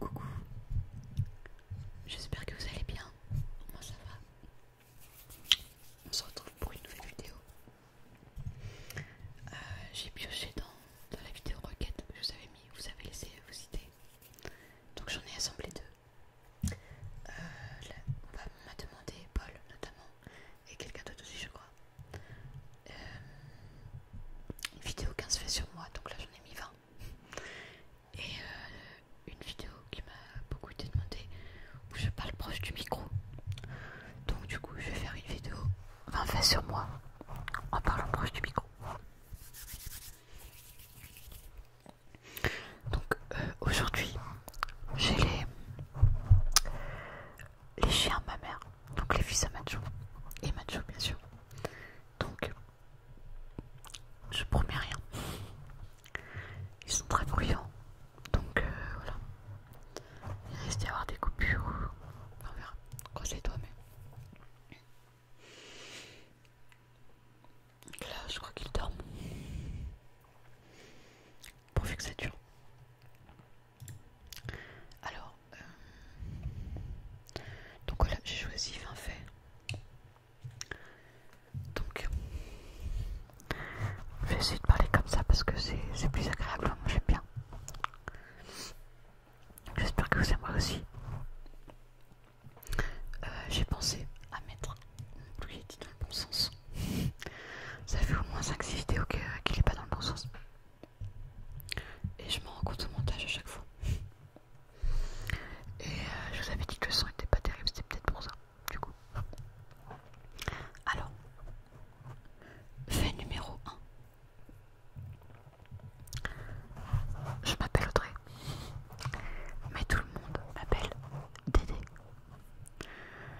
Coucou, j'espère que vous allez bien, moi ça va. On se retrouve pour une nouvelle vidéo. Euh, j'ai pioché dans, la vidéo requête que je vous avais mis, vous avez laissé vos idées. Donc j'en ai assemblé deux. Euh, on m'a demandé, Paul notamment, et quelqu'un d'autre aussi je crois. Euh, une vidéo 15 fait sur moi, donc là j'en ai mis 20. Et euh, une vidéo qui m'a beaucoup été demandée où je parle proche du micro. Donc du coup je vais faire une vidéo 20 faits sur moi en parlant proche du micro. Donc euh, aujourd'hui j'ai les les chiens ma mère, donc les fils à Macho et Macho bien sûr. Donc je promets rien. Ils sont très bruyants, donc euh, voilà. Il risque d'y avoir des coupures. On verra. Croisez-toi mais. là, je crois qu'ils dorment. Pourvu que ça dure. Alors, euh, donc voilà, j'ai choisi fin fait. Donc, je vais essayer de parler comme ça parce que c'est plus agréable, hein, moi j'aime bien. J'espère que vous aimerez aussi. Euh, j'ai pensé à mettre dit dans le bon sens. Ça fait au moins 5-6 vidéos qu'il n'est pas dans le bon sens. Et je m'en rends compte au montage à chaque fois. Et euh, je vous avais dit que le son était pas terrible, c'était peut-être pour ça, du coup. Alors, fait numéro 1. Je m'appelle Audrey, mais tout le monde m'appelle Dédé.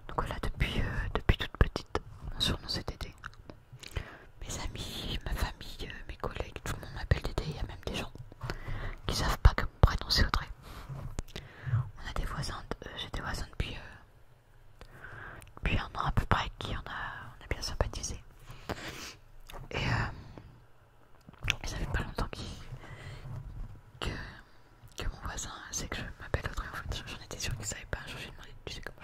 Donc voilà, depuis, euh, depuis toute petite, mon surnom c'est Dédé. Mes amis, ma famille, euh, mes collègues, tout le monde m'appelle Dédé. Il y a même des gens qui savent pas que mon prénom c'est Audrey. On a des voisins, euh, j'ai des voisins euh, depuis, un an à peu près qui on a, on a bien sympathisé. Et, ça fait pas longtemps que, mon voisin sait que je m'appelle Audrey en fait. J'en étais sûre qu'il savait pas. Je lui ai demandé, tu sais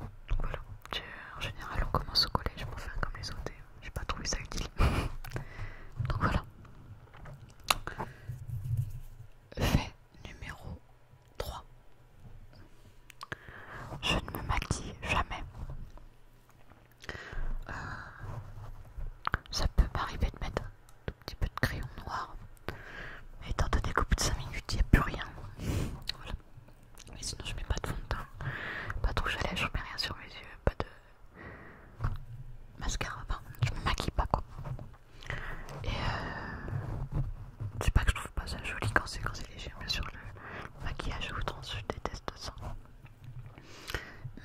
Donc voilà, en général on commence au collège pour faire comme les autres j'ai pas trouvé ça utile. Donc voilà. Fait numéro 3. Je ne me maquille jamais. Euh, ça peut m'arriver de mettre un tout petit peu de crayon noir, mais étant donné qu'au bout de 5 minutes il n'y a plus rien. Voilà. Mais sinon, je mets pas de fond de teint, pas de rouge à lèvres, je mets rien sur mes yeux, pas de mascara. Enfin, je me maquille pas quoi. Et euh, c'est pas que je trouve pas ça joli quand c'est léger, bien sûr. Le, maquillage outrance, je déteste ça.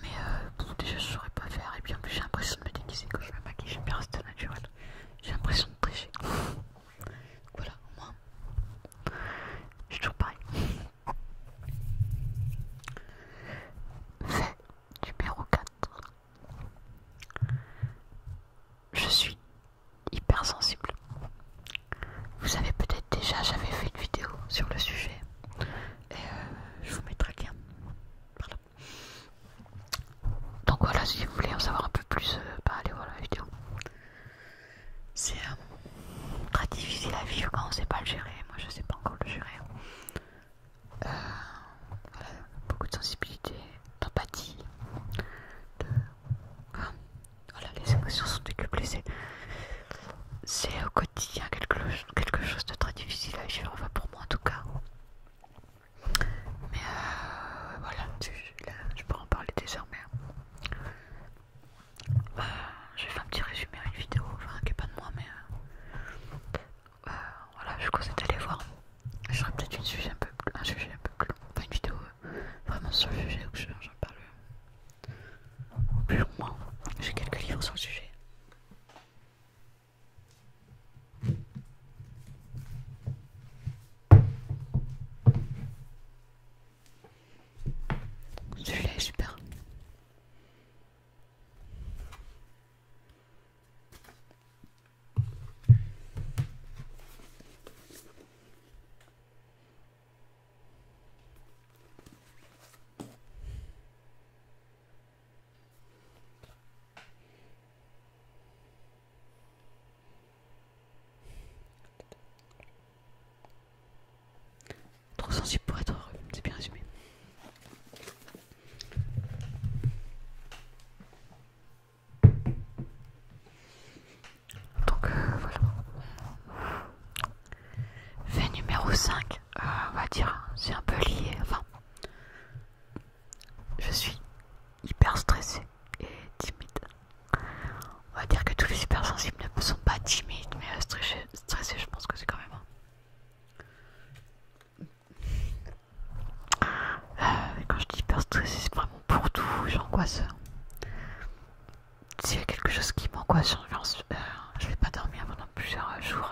Mais euh, bon déjà, je ne saurais pas faire. Et puis en plus, j'ai l'impression de me déguiser quand je me maquille, j'aime bien rester naturel. J'ai l'impression de tricher voilà, au je suis toujours pareil. Fait numéro 4. Je suis hypersensible. Vous savez peut-être déjà, j'avais fait une vidéo sur le sujet. Et euh, je vous mettrai le lien. Donc voilà, si vous voulez en savoir un peu plus, euh, bah, allez voir la vidéo c'est euh, très difficile à vivre quand on sait pas le gérer. Moi, je sais pas encore le gérer. Euh, beaucoup de sensibilité, d'empathie, hein, voilà, les émotions sont décuplées. C'est au quotidien quelque, chose de très difficile à vivre, enfin pour moi en tout cas. Mais euh, voilà, je peux en parler désormais. Je j'ai fait un petit résumé une vidéo, enfin qui est pas de moi mais euh, euh, voilà je conseille d'aller voir. J'aurais peut-être un sujet un peu un sujet un peu plus long, enfin une vidéo euh, vraiment sur le sujet où j'en parle plus moins, J'ai quelques livres sur le sujet. Je l'ai, super. Trop sensible pour être heureux, c'est bien résumé. Donc euh, voilà. Fait numéro 5, euh, on va dire, c'est un peu lié. Enfin, je suis hyper stressée et timide. On va dire que tous les hypersensibles ne sont pas timides, mais euh, stressés, je pense que c'est quand même hein. euh, quand je dis hyper stressé, c'est vraiment pour tout, j'angoisse. S'il y a quelque chose qui m'angoisse, je euh, je vais pas dormir pendant plusieurs jours.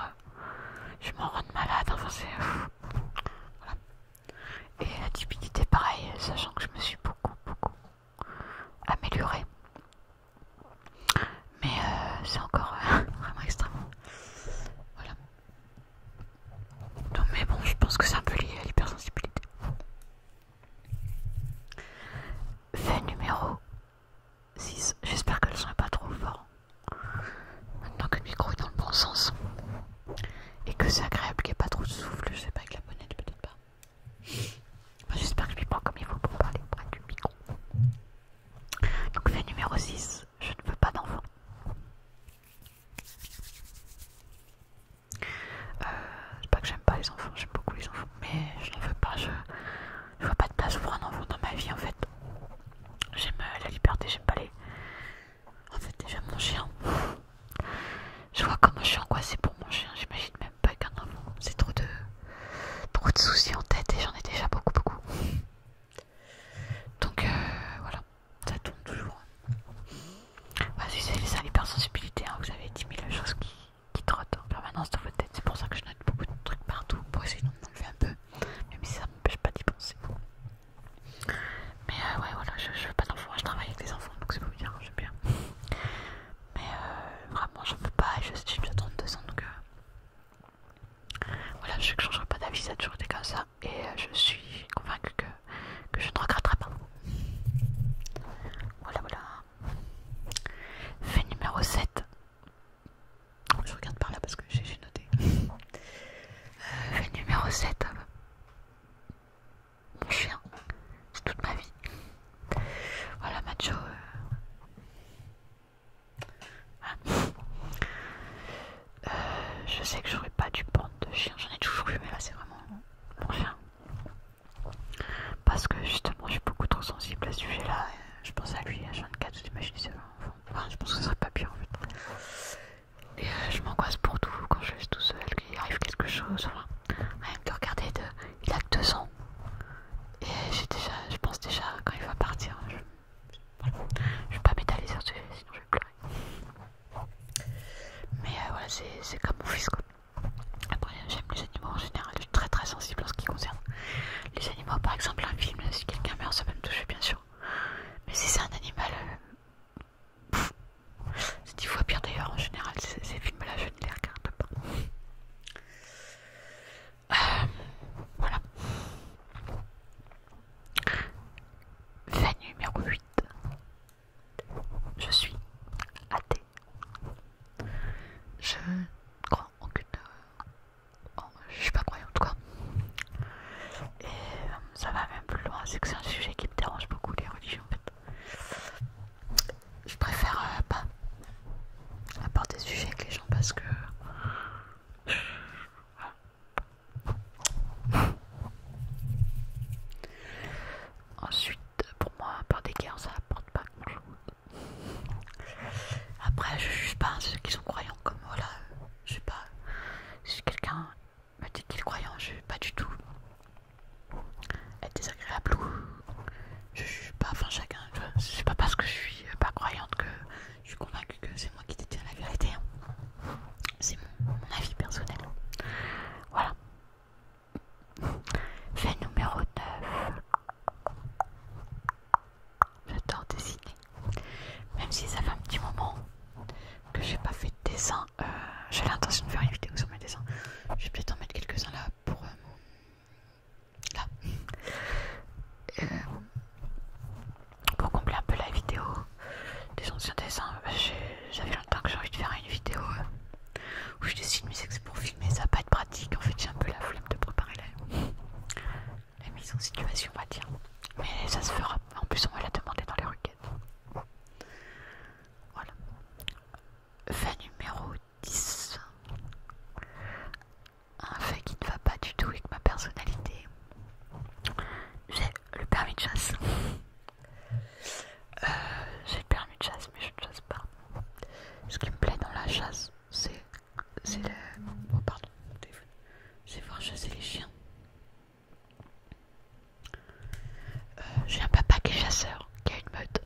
Je m'en rends malade, enfin c'est. Et la timidité, pareil, sachant que je me suis beaucoup, beaucoup, améliorer, Mais euh, c'est encore euh, vraiment extrêmement Voilà. mais bon, je pense que c'est un peu lié à l'hypersensibilité. Fait numéro 6. J'espère que le son n'est pas trop fort. Maintenant que le micro est dans le bon sens et que c'est agréable qu'il n'y ait pas trop de souffle, je sais pas, avec la bonnette peut-être pas. Bah, j'espère que je vais pas comme il faut pour parler près du micro. Donc fait numéro 6, je ne veux pas d'enfants. Euh, c'est pas que j'aime pas les enfants, j'aime beaucoup les enfants, mais je n'en veux pas, je, ne vois pas de place pour un enfant dans ma vie en fait. J'aime euh, la liberté, j'aime pas les... En fait j'aime mon chien, je vois comment je suis angoissée pour mon chien, j'imagine même pas qu'un enfant. C'est trop de... trop de soucis en tête et j'en ai déjà beaucoup, beaucoup. Donc euh, voilà, ça tourne toujours. Vas-y, c'est ça l'hypersensibilité, hein. vous avez 10 000 choses qui, trottent en permanence dans votre tête. C'est pour ça que je note beaucoup de trucs partout pour essayer d'enlever un peu, même si ça m'empêche pas d'y penser. Mais euh, ouais, voilà, je, je veux pas d'enfants, je travaille avec des enfants, donc c'est pour dire, j'aime bien. Mais euh, vraiment, je peux pas, je suis déjà 32 ans donc euh, voilà, je ne changerai pas d'avis, ça a toujours été comme ça et euh, je suis convaincue que, que je ne regretterai pas. Voilà, voilà. Fait numéro 7. Je regarde par là parce que j'ai noté. fait numéro 7 mon chien, c'est toute ma vie. Voilà, Macho. Euh. Hein. Euh, je sais que je j'aurais pas du prendre de chien, j'en ai toujours eu, mais là c'est vraiment mon chien. Parce que justement, je suis beaucoup trop sensible à ce sujet-là. Je pense à lui, à 24, je j'imagine, c'est Enfin, je pense que ce serait pas bien en fait. Et euh, je m'angoisse pour tout quand je suis tout seul, qu'il arrive quelque chose. Rien regarder, il a que deux ans. Et déjà, je pense déjà quand il va partir. Je, vais pas m'étaler sur ce sinon je vais pleurer. Mais euh, voilà, c'est comme mon fils Après, j'aime les animaux en général, je suis très très sensible en ce qui concerne les animaux. Par exemple, un film, si quelqu'un meurt, ça va me toucher bien sûr. Mais si c'est un animal euh, c'est dix fois pire d'ailleurs en général, ces, films-là, je ne les regarde pas. Euh, voilà. Fait numéro 8. Je suis athée. Je crois en aucune. Je euh, Je suis pas croyante quoi. Et euh, ça va même plus loin, c'est que c'est un sujet qui me dérange beaucoup, les religions en fait je préfère euh, pas aborder des sujet avec les gens parce que ensuite pour moi par des guerres ça apporte pas grand chose après je juge pas ceux qui sont croyants comme moi là je sais pas si quelqu'un me dit qu'il est croyant je juge pas du tout être désagréable ou je suis pas, enfin chacun, je pas parce que je suis pas croyante que je suis convaincue que c'est moi qui détient la vérité. Hein. C'est mon, mon avis personnel. Voilà. Fait numéro 9. J'adore dessiner. Même si ça fait un petit moment que j'ai pas fait de dessin, euh, j'ai l'intention de faire une vidéo sur mes dessins. Je vais peut-être en mettre quelques-uns là pour euh, euh, pour combler un peu la vidéo des anciens dessins, j'avais longtemps que j'ai envie de faire une vidéo où je dessine que c'est pour filmer, ça va pas être pratique, en fait j'ai un peu la flemme de préparer la, la mise en situation on va dire, mais ça se fera, en plus on va la demander dans les requêtes. Voilà. Fait numéro 10. Un fait qui ne va pas du tout avec ma personnalité. J'ai le permis de chasse. Euh, j'ai le permis de chasse, mais je ne chasse pas. Ce qui me plaît dans la chasse, c'est. C'est le. Oh, pardon, C'est voir chasser les chiens. Euh, j'ai un papa qui est chasseur, qui a une meute.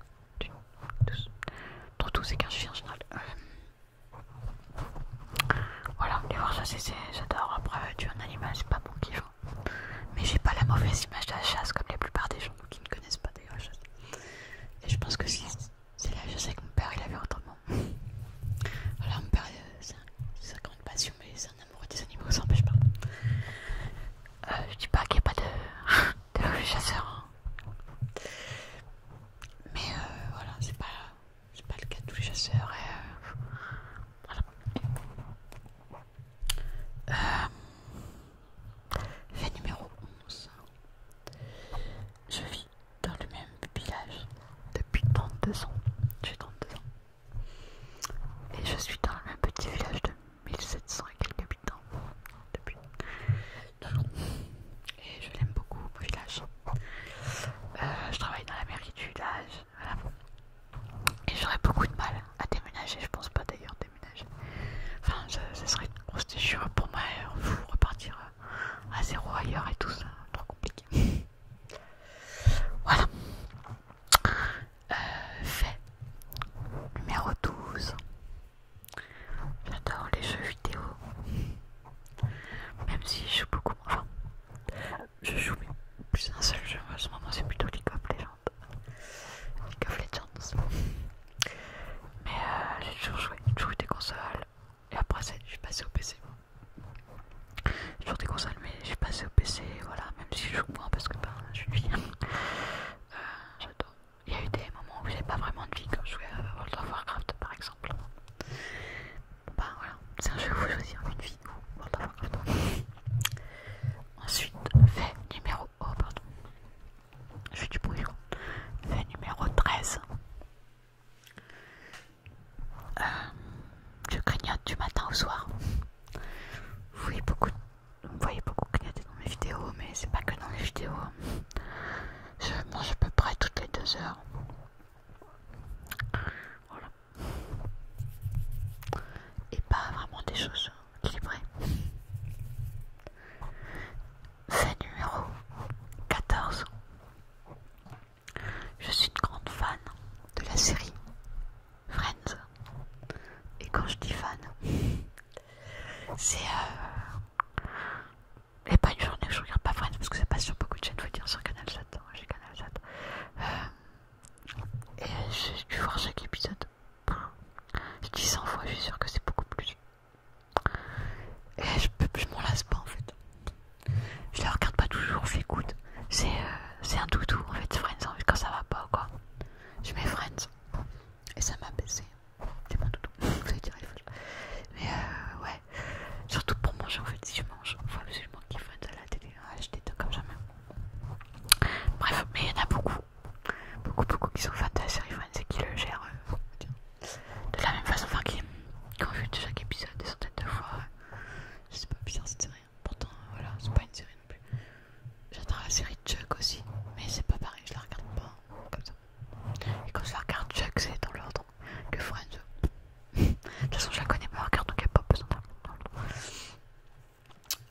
Trop tout, c'est qu'un chien en général. Euh, voilà, les voir chasser, j'adore. Après, tu es un animal, c'est pas bon qu'ils jouent. Hein. Mais j'ai pas la mauvaise image de la chasse comme la plupart des gens qui ne connaissent pas des Et je pense que si c'est la chasse avec mon père, il avait autrement. Voilà, mon père, euh, c'est sa grande passion, mais c'est un amoureux des animaux, ça n'empêche pas. Euh, je dis pas qu'il n'y a pas de, chasseurs, chasseur. Hein. Mais euh, voilà, c'est pas, pas le cas de tous les chasseurs. Euh, voilà. fait numéro 11. Je vis dans le même village depuis 32 ans. J'ai 32 ans. Et je suis dans le même petit village de 1700 et quelques habitants depuis. Et je l'aime beaucoup, mon village. Euh, je travaille dans la mairie du village, Et j'aurais beaucoup de mal à déménager, je pense pas d'ailleurs déménager. Enfin, ce serait une grosse déchirure pour moi, vous euh, repartir euh, à zéro ailleurs et tout ça, trop compliqué. Voilà. Euh, fait numéro 12. J'adore les jeux vidéo. Même si je joue beaucoup je joue plus un seul jeu. En ce moment, c'est plutôt League of Legends. League of Legends. Mais euh, j'ai toujours joué. J'ai joué des consoles. Et après, je suis passé au PC. J'ai toujours des consoles, mais je suis passé au PC. Voilà, même si je joue moins parce que ben, je suis une fille. Euh, j'adore. Il y a eu des moments où j'ai pas vraiment de vie comme je jouais à World of Warcraft par exemple. Bah voilà, c'est un jeu où vous choisissez une vie ou World of Warcraft. Ensuite, fait numéro. Oh pardon. Je fais du bruit. Fait numéro 13. Euh, je grignote du matin au soir. Oui, beaucoup de vous voyez beaucoup j'ai dans mes vidéos, mais c'est pas que dans les vidéos. Je mange à peu près toutes les deux heures. Voilà. Et pas vraiment des choses équilibrées. Fait numéro 14. Je suis une grande fan de la série Friends. Et quand je dis fan, c'est euh... Et pas une journée que je regarde pas Friends parce que c'est pas sur beaucoup de chaînes, faut dire sur Canal 7, hein, j'ai Canal 7. Euh, et je vais voir chaque épisode. Je dis 100 fois, je suis sûre que c'est beaucoup plus. Et je, m'en lasse pas en fait. Je la regarde pas toujours, écoute euh, C'est un doudou en fait, Friends, quand ça va pas quoi. Je mets Friends et ça m'a baissé. C'est mon doudou, vous allez dire Mais euh, ouais, surtout pour manger en fait, si je mange, il faut absolument qu'il à de la télé. acheter comme jamais. Bref, mais il y en a beaucoup, beaucoup, beaucoup qui sont fans de la série Friends et qui le gèrent euh, de la même façon, enfin qui, ont vu de chaque épisode des centaines de fois. c'est pas, bizarre cette série, pourtant voilà, c'est pas une série non plus. J'adore la série Chuck aussi, mais c'est pas pareil, je la regarde pas comme ça. Et quand je la regarde Chuck, c'est dans l'ordre que Friends. de toute façon, je la connais pas, regarde, donc y a pas besoin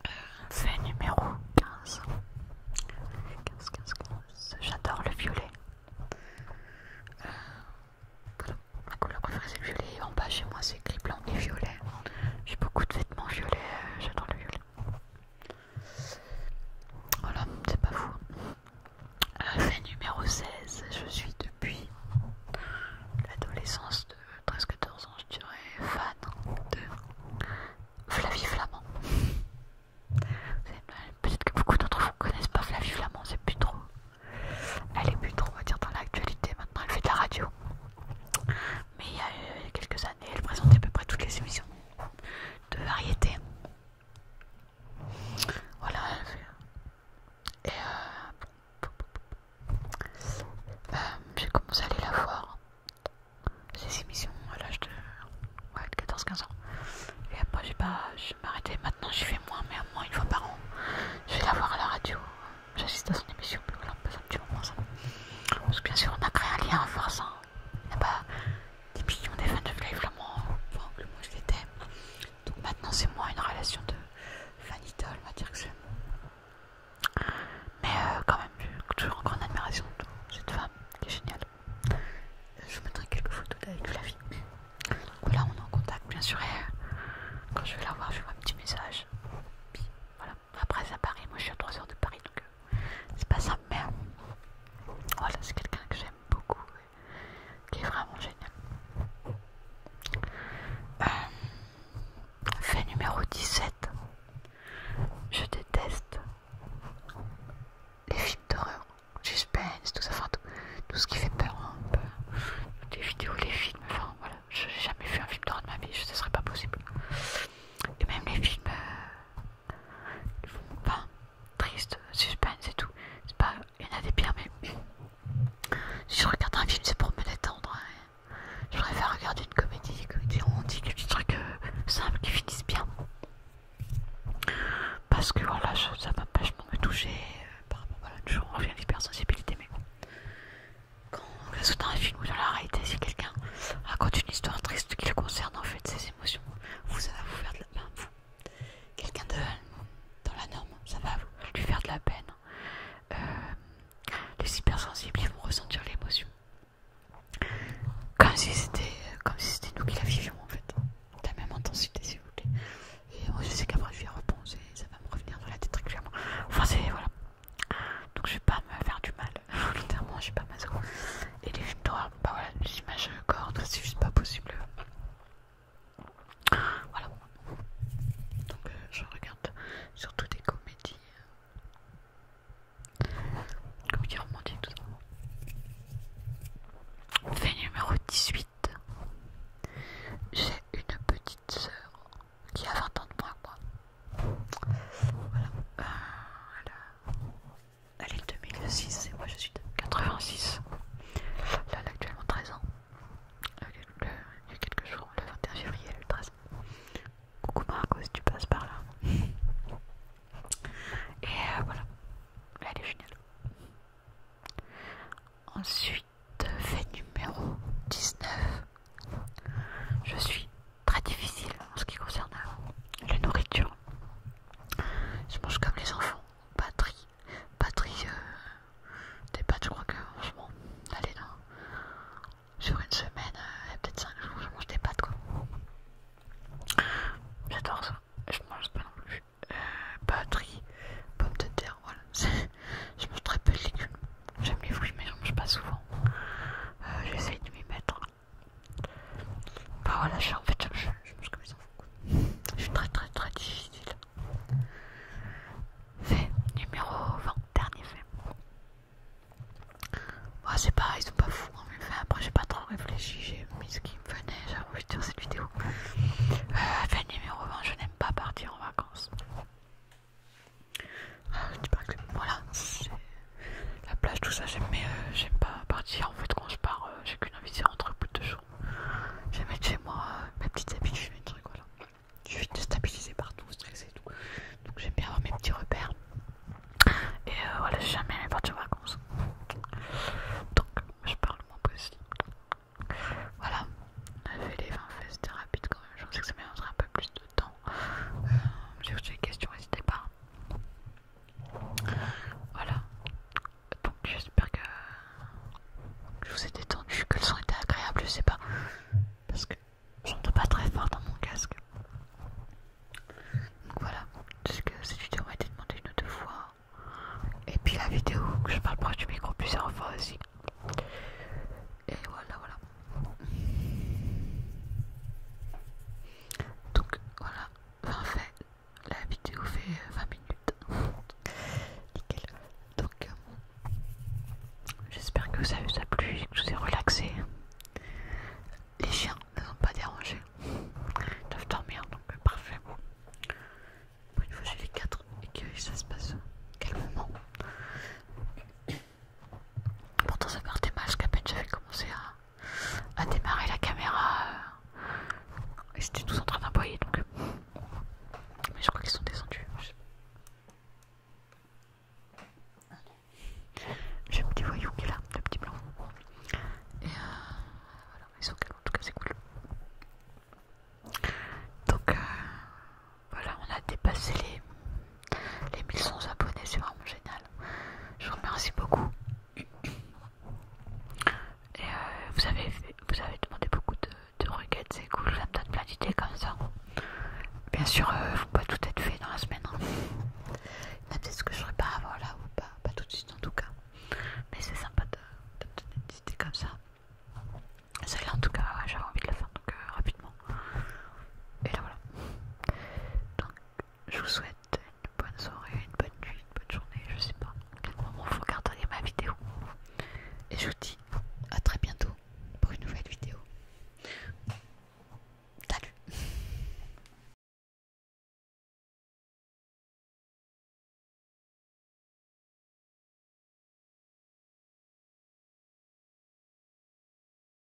d'un euh, numéro 15. 15, 15, 15. J'adore le violet. Euh, ma couleur préférée c'est le violet. En bas chez moi c'est gris, blanc et violet. J'ai beaucoup de vêtements violets, euh, j'adore le violet. Voilà, c'est pas fou. Euh, fait numéro 16, je suis depuis l'adolescence de 13-14 ans, je dirais, fan de Flavie Flamand. Peut-être que beaucoup d'entre vous ne connaissent pas Flavie Flamand, c'est plus trop. Elle est plus trop, on va dire, dans l'actualité maintenant, elle fait de la radio mais euh, il y a quelques années, elle présentait à peu près toutes les émissions de variété. Voilà. Euh, et euh, j'ai commencé à aller la voir, ces émissions, à l'âge de, 14-15 ans. Et après, j'ai pas, je Maintenant, je fais moins, mais au moins une fois par an. Je vais la voir à la radio. J'assiste à son émission, parce que bien sûr on a créé un lien à force. n'y Et bah, des millions des fans de vraiment Flamand, que moi je l'étais. Donc maintenant c'est moins une relation de fan à on va dire que c'est. Mais euh, quand même, toujours en grande admiration de cette femme qui est géniale. Euh, je vous mettrai quelques photos avec Flavie. Donc là on est en contact bien sûr et euh, quand je vais la voir je vais un petit message. voilà. Après, c'est à Paris. Moi, je suis à 3 h de Paris, donc euh, c'est pas simple, mais euh, voilà, c'est quelqu'un que j'aime beaucoup, qui est vraiment génial. Euh, fait numéro 17. Je déteste les films d'horreur, suspense, tout ça, tout, ce qui fait peur hein, Les vidéos, les films, enfin voilà. Je n'ai jamais vu un film d'horreur de ma vie, ce serait pas possible. Et même les films qui euh, font pas suspense et tout. C'est pas, il y en a des pires, mais si je regarde un film, c'est pour me détendre. Hein. Je préfère regarder une comédie, comédie romantique, des petits trucs euh, simples qui finissent bien. Parce que voilà, ça m'empêche vachement me toucher. Euh, par rapport à l'autre mais bon quand on regarde dans un film ou dans la réalité, si quelqu'un raconte une histoire triste qui le concerne, en fait, ses émotions, vous, ça va vous faire de la peine. Quelqu'un quelqu'un dans la norme, ça va lui faire de la peine. Euh, les hypersensibles, ils vont ressentir l'émotion. Comme si c'était comme si c'était nous qui la vivions, en fait. De la même intensité, si vous voulez. Et moi, je sais qu'après, je vais y repenser, ça va me revenir dans la tête clairement. Enfin, c'est. Voilà donc je vais pas me faire du mal volontairement j'ai pas ma et les victoires, bah voilà les images cordes c'est juste pas possible voilà donc euh, je regarde surtout des comédies comédies romantiques tout ça fait numéro 18 j'ai une petite sœur qui a 20 ans de moins que moi voilà. Euh, elle, est de 2006 et moi je suis de 86. Là, elle a actuellement 13 ans. il y a quelques jours, le 21 février, elle le 13. Coucou Marco si tu passes par là. Et euh, voilà. Elle est géniale. Ensuite, fait numéro 19. Je suis très difficile en ce qui concerne euh, la nourriture. Je mange comme les enfants, batterie, batterie euh, des pâtes, je crois que franchement, allez non sur une semaine, euh, et peut-être 5 jours, je mange des pâtes quoi. J'adore ça, je mange pas non plus. Euh, batterie, pommes de terre, voilà. je mange très peu de légumes. J'aime les fruits mais je mange pas souvent. J'essaie J'essaye de m'y mettre. Bah voilà, je suis en fait, je, je, je Je suis très très très difficile. Fait numéro 20, dernier fait. Bon bah, c'est pareil, ils sont pas fous, hein, mais après j'ai pas trop réfléchi, j'ai mis ce qui me venait, j'ai envie de faire cette vidéo. Euh, fait numéro 20, je n'aime pas partir en vacances. Ah, voilà, la plage, tout ça, euh, j'aime pas partir. En fait, quand je pars, euh, j'ai qu'une envie de rentrer au bout de deux jours. J'aime être chez moi, petite euh, mes petites habitudes, mes trucs, voilà. Je suis déstabilisée partout, stressé, et tout. Donc j'aime bien avoir mes petits repères. Et voilà, j'aime bien aller partir en vacances. Donc, je parle le moins possible. Voilà, a fait les 20 fesses, c'était rapide quand même. Je pensais que ça me un peu plus de temps, j'ai euh, questions, n'hésitez pas. Voilà. Donc j'espère que je vous ai détendu, que le son était agréable, je sais pas. Parce que j'entends pas très fort dans mon casque. Donc voilà, parce que cette vidéo m'a été demandée une ou deux fois. Et puis la vidéo où je parle pas du micro plusieurs fois aussi. Et voilà, voilà. Donc voilà, parfait. la vidéo fait 20 euh, minutes. Nickel. Donc euh, j'espère que ça vous a plu, que je vous ai relaxé. Les chiens ne vont pas déranger, Ils doivent dormir, donc euh, parfait. Pour une fois j'ai les 4 et que ça se passe calmement. Pourtant ça partait mal parce qu'à peine j'avais commencé à, démarrer la caméra Ils euh, et tous en train d'employer donc. Euh, mais je crois qu'ils sont descendus. J'ai un petit voyou qui est là, le petit blanc. Et euh, voilà, ils sont calmes, en tout cas c'est cool. Donc voilà, on a dépassé les les 1100 abonnés, c'est vraiment génial. Je vous remercie beaucoup. Et euh, vous, avez, vous avez demandé beaucoup de, requêtes, c'est cool, ça me donne plein d'idées comme ça. Bien sûr, ne euh, faut pas tout être fait dans la semaine. Hein. Il y a peut-être ce que je serai pas avant là, ou pas, tout de suite en tout cas. Mais c'est sympa de, donner des idées comme ça. Celle-là en tout cas, j'avais envie de la faire donc euh, rapidement. Et là voilà je vous souhaite une bonne soirée, une bonne nuit, une bonne journée, je sais pas à quel moment vous regarderez ma vidéo. Et je vous dis à très bientôt pour une nouvelle vidéo. Salut